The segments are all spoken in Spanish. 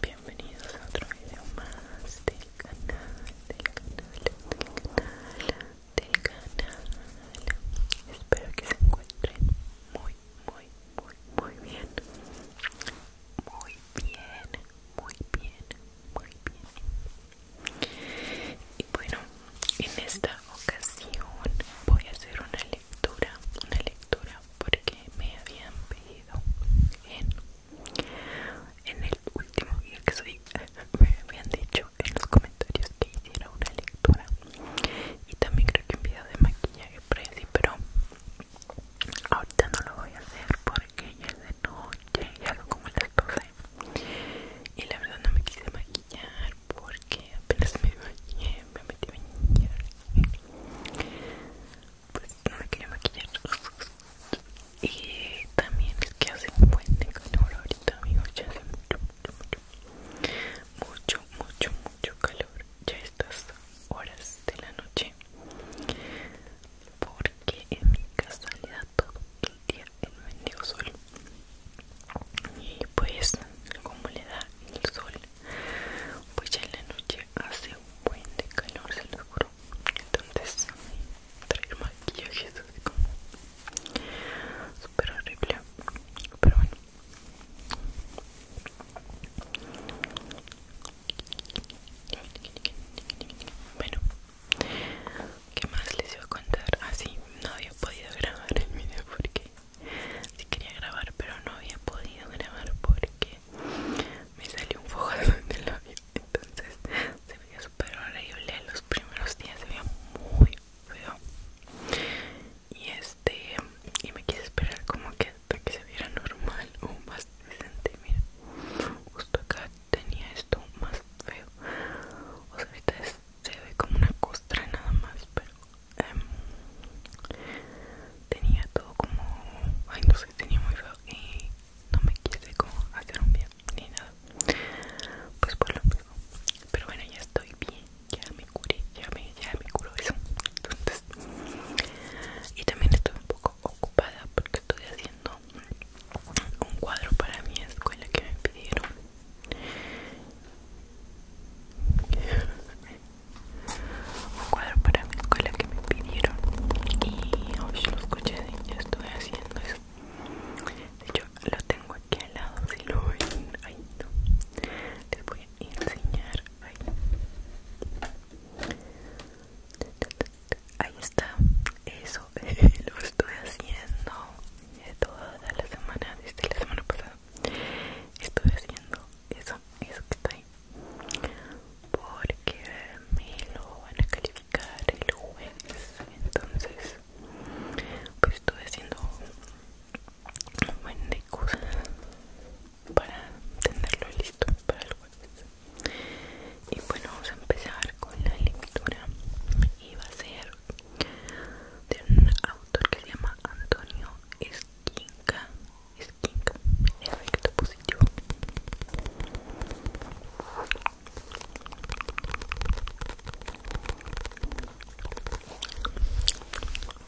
Bienvenidos a otro video más del canal, del canal, Espero que se encuentren muy, muy, muy, muy bien muy bien, muy bien, muy bien. Y bueno, en esta ocasión voy a hacer una lectura, una lectura porque me habían pedido en, en el último día que soy, me habían dicho en los comentarios que hiciera una lectura y también creo que en video de maquillaje pero Ahorita no lo voy a hacer porque ya es de noche, y lo como las Y la verdad no me quise maquillar porque apenas me bañé, me metí a Pues no me quería maquillar Y también es que hace un buen calor ahorita amigos, ya hace mucho Mucho, mucho, mucho calor ya estas horas de la noche porque en mi casa le da todo el día el mendigo sol y pues como le da el sol pues ya en la noche hace un buen de calor se lo juro entonces traer maquillaje es súper horrible pero bueno bueno, ¿qué más les iba a contar? Así ah, no había podido grabar el video porque sí quería grabar, pero no había podido grabar porque me salió un fojazo en el labio. Entonces se veía súper horrible. Los primeros días se veía muy feo. Y este, y me quise esperar como que para que se viera normal o más decente mira justo acá tenía esto más feo o sea ahorita se ve como una costra nada más pero em, tenía todo como ay no sé tenía muy feo y no me quise como hacer un bien ni nada pues por lo menos pero bueno ya estoy bien ya me curé ya me ya me curó eso entonces y también estoy un poco ocupada porque estoy haciendo un cuadro para mi escuela que me pidieron un cuadro para mi escuela que me pidieron y hoy lo escuché y estoy haciendo eso de hecho lo tengo aquí al lado si lo ven ahí no voy a enseñar Ahí está, eso lo estoy haciendo toda la semana, desde la semana pasada. Estoy haciendo eso, eso que está ahí. Porque me lo van a calificar el jueves. Entonces, pues estoy haciendo un buen de cosas para tenerlo listo para el jueves y bueno vamos a empezar con la lectura y va a ser de un autor que se llama Antonio Esquinca Esquinca, efecto positivo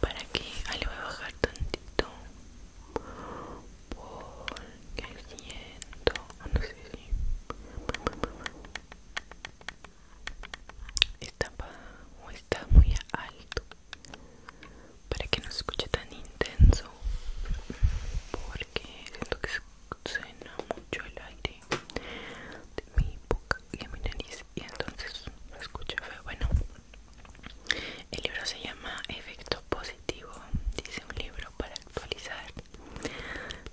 para que ah, le voy a bajar tantito porque siento ah, no sé si está o está muy alto para que no se escuche tan intenso porque siento que suena mucho el aire de mi boca y de mi nariz y entonces no escucha bueno el libro se llama Efecto Positivo, dice un libro para actualizar,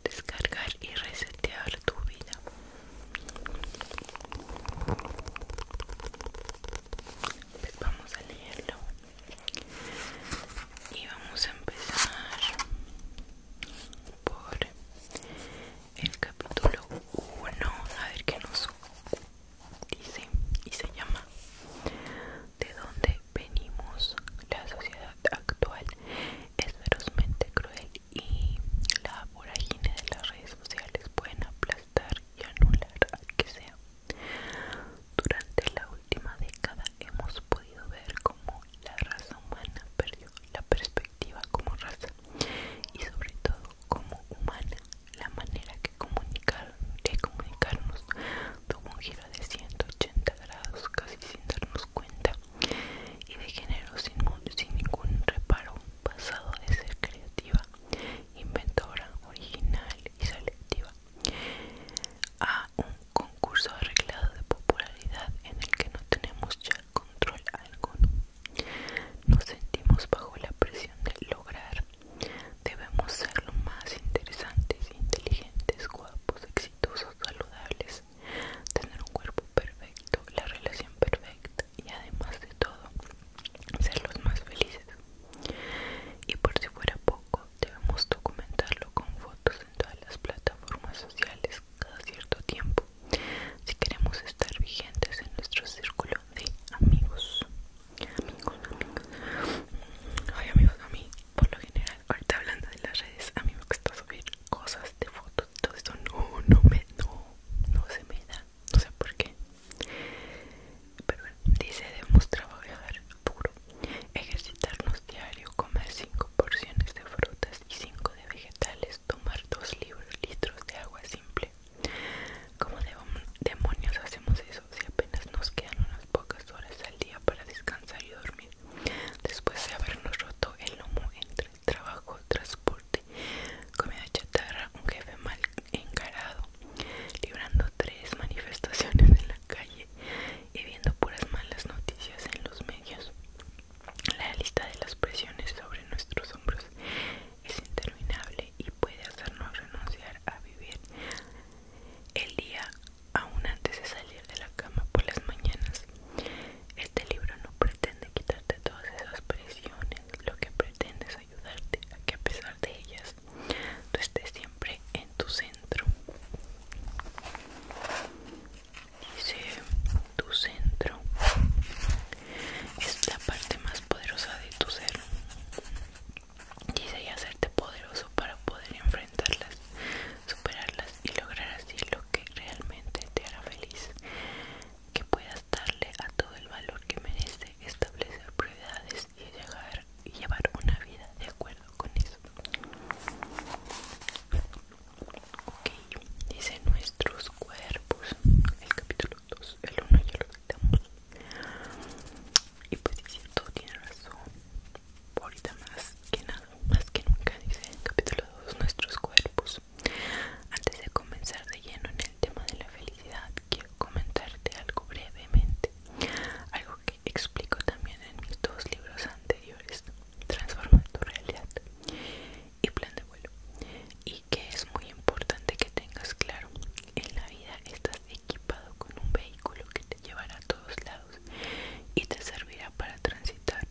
descargar y resetear tu vida. Pues vamos a leerlo y vamos a empezar por el capítulo 1, a ver qué nos dice y se llama de dónde venimos la sociedad actual es ferozmente cruel y la vorágine de las redes sociales pueden aplastar y anular al que sea durante la última década hemos podido ver cómo la raza humana perdió la perspectiva como raza y sobre todo como humana la manera que comunicar, de comunicarnos tuvo un giro de 180 grados casi sin darnos cuenta y de género sin, sin ningún reparo, pasado de ser creativa, inventora, original y selectiva a un concurso arreglado de popularidad en el que no tenemos ya control alguno. Nos sentimos bajo la presión de lograr Debemos ser los más interesantes, inteligentes, guapos, exitosos, saludables, tener un cuerpo perfecto, la relación perfecta y además de todo, ser los más felices. Y por si fuera poco, debemos documentarlo con fotos en todas las plataformas sociales cada cierto tiempo si queremos estar vigentes en nuestro círculo de amigos amigos, amigos a mí, por lo general, ahorita hablando de las redes A mí me gusta subir cosas de fotos y todo esto No, no me, no, no se me da No sé por qué Pero bueno, dice debemos trabajar puro Ejercitarnos diario, comer 5 porciones de frutas y 5 de vegetales Tomar 2 litros de agua simple ¿Cómo demonios hacemos eso si apenas nos quedan unas pocas horas al día para descansar y dormir? Después de habernos roto el lomo entre trabajo, transporte, comida chatarra, un jefe mal encarado, librando tres manifestaciones en la calle y viendo puras malas noticias en los medios. La lista de las presiones sobre nuestros hombros es interminable y puede hacernos renunciar a vivir el día aún antes de salir de la cama por las mañanas. Este libro no pretende quitarte todas esas presiones, lo que pretende es ayudarte a que a pesar de ellas tú estés siempre en tu centro. Dice tu centro es la parte más poderosa de tu ser. Dice y hacerte poderoso para poder enfrentarlas, superarlas y lograr así lo que realmente te hará feliz. Que puedas darle a todo el valor que merece, establecer prioridades y, llegar, y llevar una vida de acuerdo con eso. Ok, dice nuestros cuerpos, el capítulo el uno ya lo quitamos. Y pues es cierto, tiene razón. Ahorita más que nada, más que nunca, dice en capítulo 2, nuestros cuerpos. Antes de comenzar de lleno en el tema de la felicidad, quiero comentarte algo brevemente. Algo que explico también en mis dos libros anteriores, Transforma tu realidad y Plan de vuelo. Y que es muy importante que tengas claro en la vida estás equipado con un vehículo que te llevará a todos lados y te servirá para transitar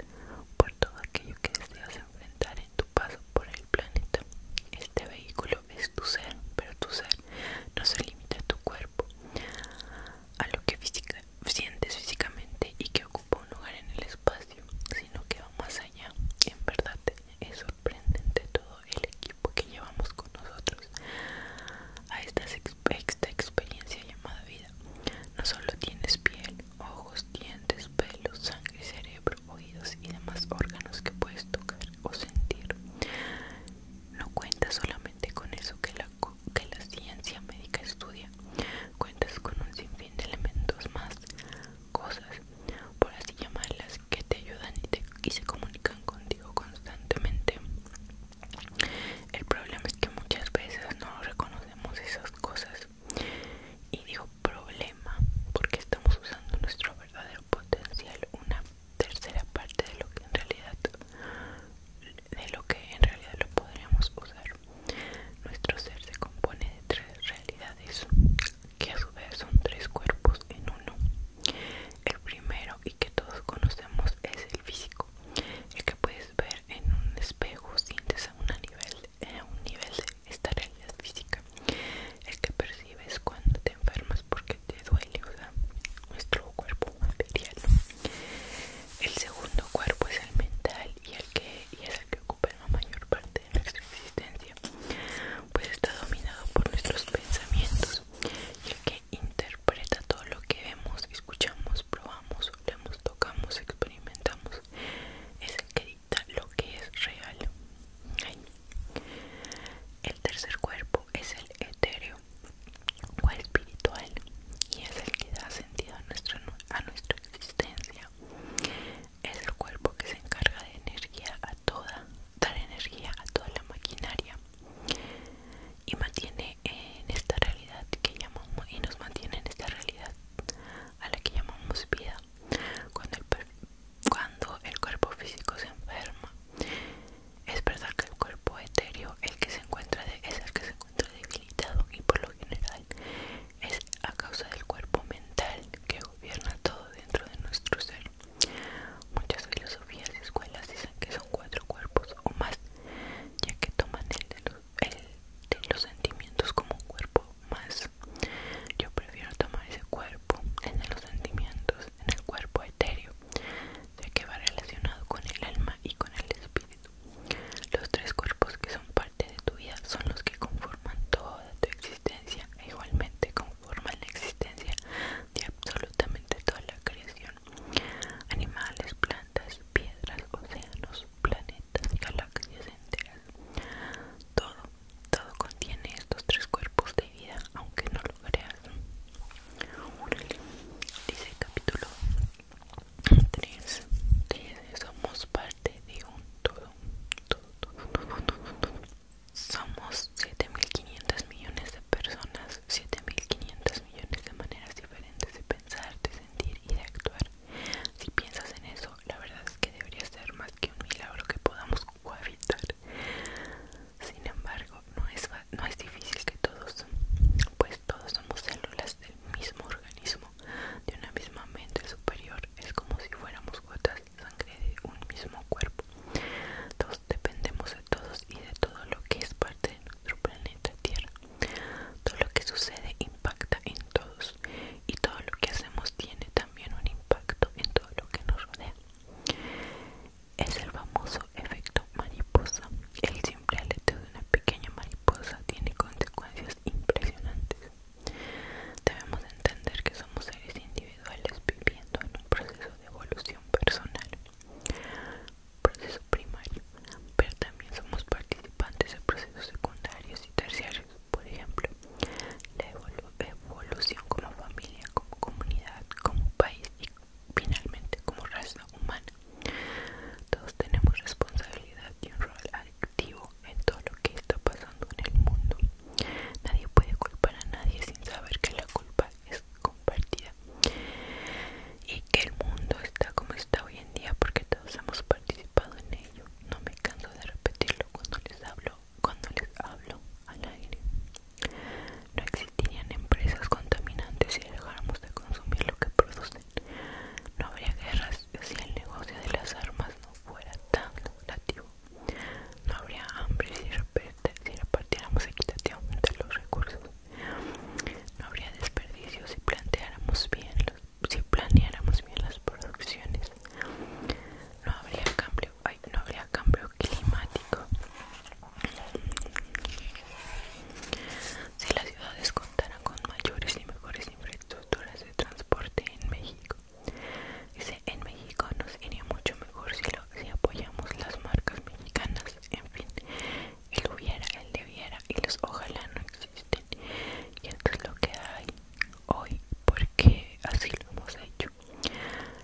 por todo aquello que deseas enfrentar en tu paso por el planeta. Este vehículo es tu ser, pero tu ser no se limita a tu cuerpo, a lo que sientes físicamente y que ocupa un lugar en el espacio, sino que va más allá. En verdad es sorprendente todo el equipo porque llevamos con nosotros a esta, experiencia llamada vida. No solo tienes piel, ojos, dientes, pelo, sangre, cerebro, oídos y demás órganos que puedes tocar o sentir. No cuentas solamente con eso que la, que la ciencia médica estudia, cuentas con un sinfín de elementos más, cosas, por así llamarlas, que te ayudan y, te, y se comunican contigo constantemente. El problema es que muchas veces no reconocemos esas cosas. Y digo problema porque estamos usando nuestro verdadero potencial, una tercera parte de lo que en realidad de lo que en realidad lo podríamos usar. Nuestro ser se compone de tres realidades, que a su vez son tres cuerpos en uno. El primero y que todos conocemos es el físico, el que puedes ver en un espejo, sientes a, un nivel, eh, a un nivel de esta realidad física, el que percibes cuando te enfermas porque te duele, o sea, nuestro cuerpo material. El segundo cuerpo es el mental y, el que, y es el que ocupa la mayor parte de nuestra existencia, pues está dominado por nuestros pensamientos, y el que interpreta todo lo que vemos, escuchamos, probamos, leemos, tocamos, experimentamos. Es el que dicta lo que es real. El tercer cuerpo es el etéreo o espiritual y es el que da sentido a a nuestra existencia. Es el cuerpo que se encarga de energía a toda dar energía a toda la maquinaria y mantiene en esta realidad que llamamos y nos mantiene en esta realidad a la que llamamos vida cuando el, cuerpo físico se enferma es verdad que el cuerpo etéreo el que se encuentra es el que se encuentra debilitado y por lo general es a causa del cuerpo mental que gobierna todo dentro de nuestro ser Muchas filosofías y escuelas dicen que son cuatro cuerpos o más, ya que toman el de los, sentimientos como un cuerpo más. Yo prefiero tomar ese cuerpo, el de los sentimientos, en el cuerpo etéreo, ya que va relacionado con el alma y con el espíritu. Los tres cuerpos que son parte de tu vida son los que conforman toda tu existencia e igualmente con forma la existencia de absolutamente toda la creación animales, plantas, piedras, océanos, planetas, galaxias enteras todo, todo contiene estos tres cuerpos de vida aunque no lo creas dice capítulo 3 somos parte de un todo somos 7.500 millones de personas, 7.500 millones de maneras diferentes de pensar, de sentir y de actuar. Si piensas en eso, la verdad es que debería ser más que un milagro que podamos cohabitar. Sin embargo, no es, no es difícil que todos, pues todos somos células del mismo organismo, de una misma mente superior. Es como si fuéramos gotas sangre de un mismo cuerpo. Todos dependemos de todos y de todo lo que es parte de nuestro planeta Tierra. Todo lo que sucede impacta en todos y todo lo que hacemos tiene también un impacto en todo lo que nos rodea. Es el famoso efecto mariposa. El simple aleteo de una pequeña mariposa tiene consecuencias impresionantes. Debemos entender que somos seres individuales viviendo en un proceso de evolución personal, proceso primario, pero también somos participantes de procesos secundarios y terciarios, por ejemplo, la evolución como familia, como comunidad, como país y finalmente como raza humana. Todos tenemos responsabilidad y un rol activo en todo lo que está pasando en el mundo Nadie puede culpar a nadie sin saber que la culpa es compartida y que el mundo está como está hoy en día porque todos hemos participado en ello. No me canso de repetirlo cuando les hablo, cuando les hablo al aire. No existirían empresas contaminantes si dejáramos de consumir lo que producen. No habría guerras si el negocio de las armas no fuera tan lucrativo. No habría hambre si, repartiéramos equitativamente los recursos. No habría desperdicio si planteáramos bien si planeáramos bien las producciones no habría cambio no habría cambio climático si las ciudades contaran con mayores y mejores infraestructuras de transporte en México Dice, en México nos iría mucho mejor si, apoyamos las marcas mexicanas. En fin, el hubiera, el debiera y los ojalá no existen. Y esto es lo que hay hoy porque así lo hemos hecho.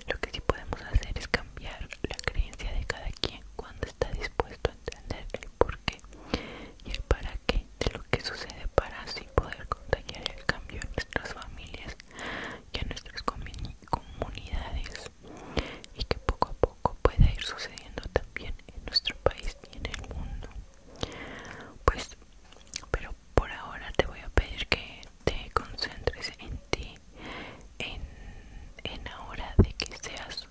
Lo que sí podemos hacer es cambiar la creencia de cada quien cuando está dispuesto a entender el por qué y el para qué de lo que sucede para así poder contagiar el cambio en nuestras familias y a nuestras comunidades y que poco a poco pueda ir sucediendo también en nuestro país y en el mundo pues pero por ahora te voy a pedir que te concentres en ti en, en ahora de que seas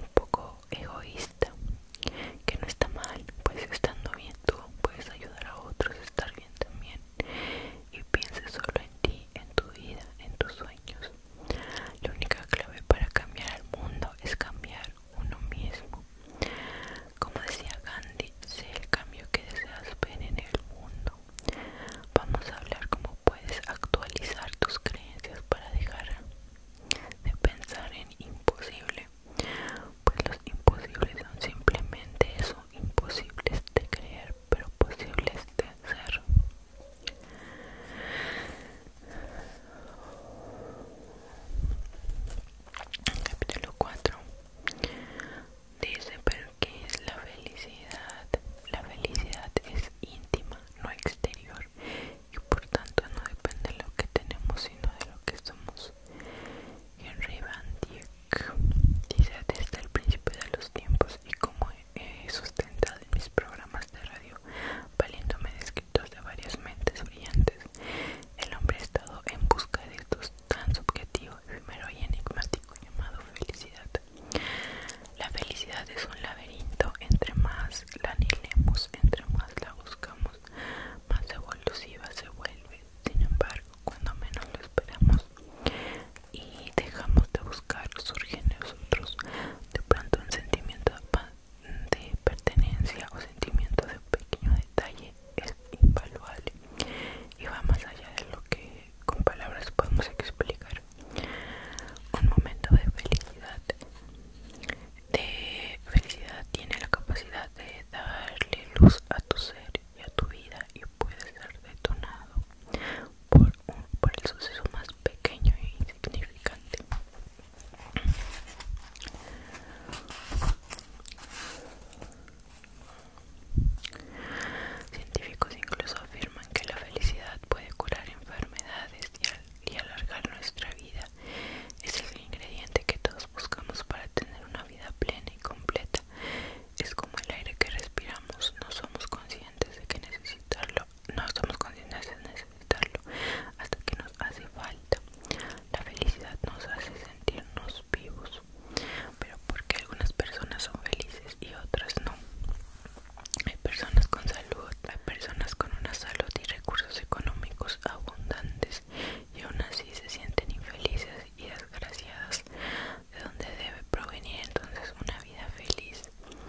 un poco egoísta que no está mal pues estando bien tú puedes ayudar a otros a estar bien también y pienses solo en ti, en tu vida, en tus sueños. La única clave para cambiar al mundo es cambiar uno mismo. Como decía Gandhi, sé el cambio que deseas ver en el mundo. Vamos a hablar cómo puedes actualizar tus creencias para dejar de pensar en imposible, pues los imposibles son simplemente eso, imposibles de creer pero posibles de ser capítulo 4 dice pero que es la felicidad la felicidad es íntima no exterior y por tanto no depende de lo que tenemos sino de lo que somos Henry Van Dyck dice desde el principio de los tiempos y como he sustentado en mis programas de radio, valiéndome de escritos de varias mentes brillantes, el hombre ha estado en busca de estos tan subjetivo, mero y enigmático llamado felicidad. La felicidad es un laberinto, entre más la anilemos, entre más la buscamos, más evolutiva se vuelve sin embargo, cuando menos lo esperamos y dejamos de buscar, surge en nosotros de pronto un sentimiento de pertenencia o sentimiento de pequeño detalle es invaluable y va más allá de lo que con palabras podemos explicar. Un momento de felicidad, de felicidad tiene la capacidad de darle luz a tu ser y a tu vida y puede ser detonado por, por el suceso más pequeño e insignificante. Científicos incluso afirman que la felicidad puede curar enfermedades y alargar nuestra vida. Es el ingrediente que todos buscamos para tener una vida plena y completa. Es como el aire que respiramos, no somos conscientes de que necesitarlo, no somos conscientes de necesitarlo hasta que nos hace falta. La felicidad nos hace sentirnos vivos, pero porque algunas personas son felices y otras no. Hay personas con salud, hay personas con una salud y recursos económicos abundantes y aún así se sienten infelices y desgraciadas de donde debe provenir entonces una vida feliz.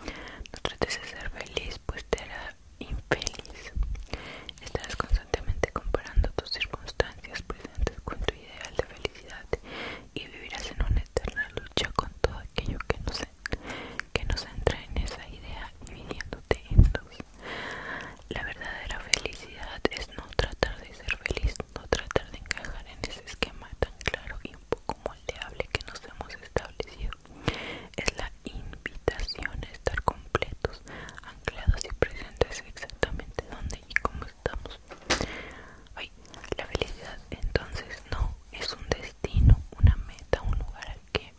No trates de ser feliz, pues te hará infeliz. Estarás constantemente comparando tus circunstancias presentes con tu ideal de felicidad y vivirás en una eterna lucha con todo aquello que nos, que entra en esa idea, viniéndote en dos. La verdadera felicidad es no tratar de ser feliz, no tratar de encajar en ese esquema tan claro y un poco moldeable que nos hemos establecido. Es la invitación a estar completos, anclados y presentes exactamente donde y cómo estamos. Ay, la felicidad entonces no es un destino, una meta, un lugar al que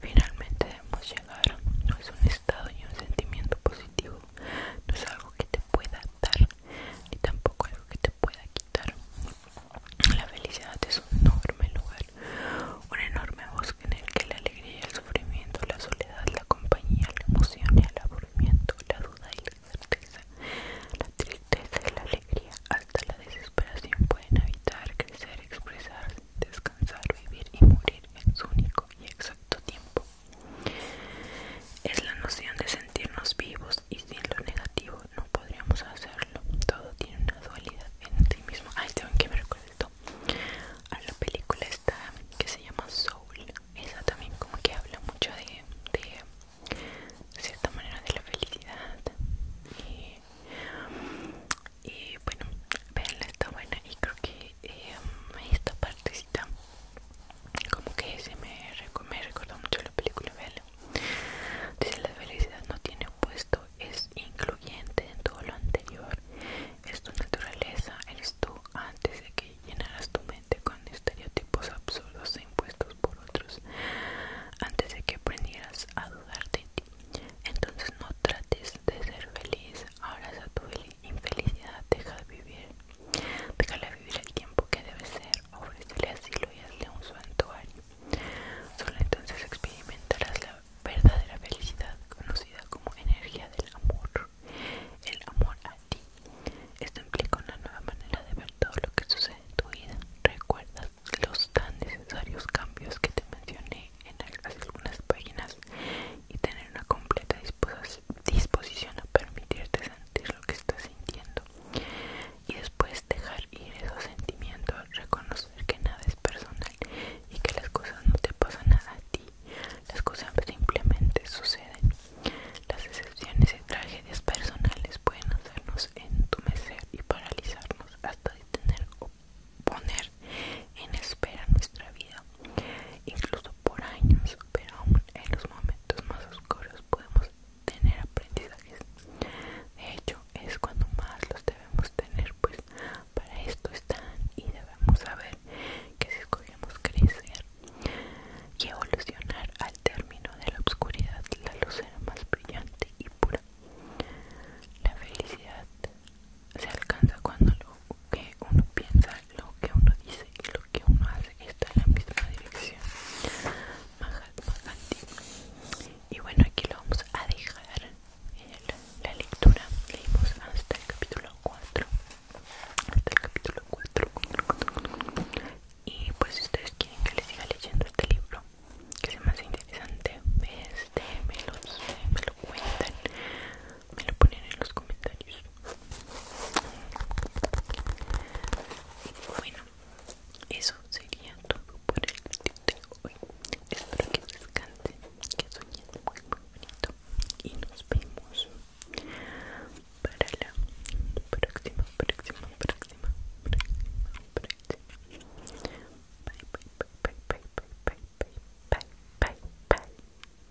finalmente debemos llegar, no es un estado y un sentimiento positivo no es algo que te pueda dar ni tampoco algo que te pueda quitar la felicidad es un enorme lugar un enorme bosque en el que la alegría el sufrimiento la soledad la compañía la emoción y el aburrimiento la duda y la certeza la tristeza y la alegría hasta la desesperación pueden habitar crecer expresarse descansar vivir y morir en su único y exacto tiempo es la noción de sentirnos vivos y sin lo negativo no podríamos hacerlo. Todo tiene una dualidad en sí mismo. Ay, tengo que me recuerdo a la película esta que se llama Soul. Esa también como que habla mucho de, cierta manera de la felicidad. Y, bueno, verla está buena y creo que eh, esta partecita como que se me, recordó mucho la película Bella dice la felicidad no tiene puesto, es incluyente en todo lo anterior es tu naturaleza eres tú antes de que llenaras tu mente con estereotipos absurdos e impuestos por otros antes de que aprendieras a dudar de ti entonces no trates de ser feliz abraza tu felicidad infelicidad, deja de vivir, déjala vivir el tiempo que debe ser, ofrécele asilo y hazle un santuario. Solo entonces experimentarás la verdadera felicidad, conocida como energía del amor, el amor a ti. Esto implica una nueva manera de ver todo lo que sucede en tu vida. Recuerda los tan necesarios cambios que te mencioné en algunas páginas y tener una completa disposición disposición a permitirte sentir lo que estás sintiendo y después dejar ir esos sentimientos, reconocer que nada es personal y que las cosas no te pasan nada a ti, las cosas simplemente suceden. Las excepciones y tragedias personales pueden hacernos entumecer y paralizarnos hasta detener o poner en espera nuestra vida, incluso por años, pero aún en los momentos más oscuros podemos tener aprendizajes. De hecho, es cuando más los debemos tener, pues para esto están y debemos saber que si escogemos crecer y evolucionar al término de la oscuridad, la luz será más brillante y pura. La felicidad se alcanza cuando lo que uno piensa, lo que uno dice y lo que uno hace está en la misma dirección. Mahatma Gandhi. Y bueno, aquí lo vamos a dejar la, la lectura. Leímos hasta el capítulo 4. Hasta el capítulo 4. Y pues si ustedes quieren que les siga leyendo este libro, que sea más interesante, este, me, lo cuentan me lo ponen en los comentarios bueno eso sería todo por el video de hoy espero que les descansen que soñen muy muy bonito y nos vemos para la próxima próxima próxima próxima bye bye bye bye bye bye bye bye bye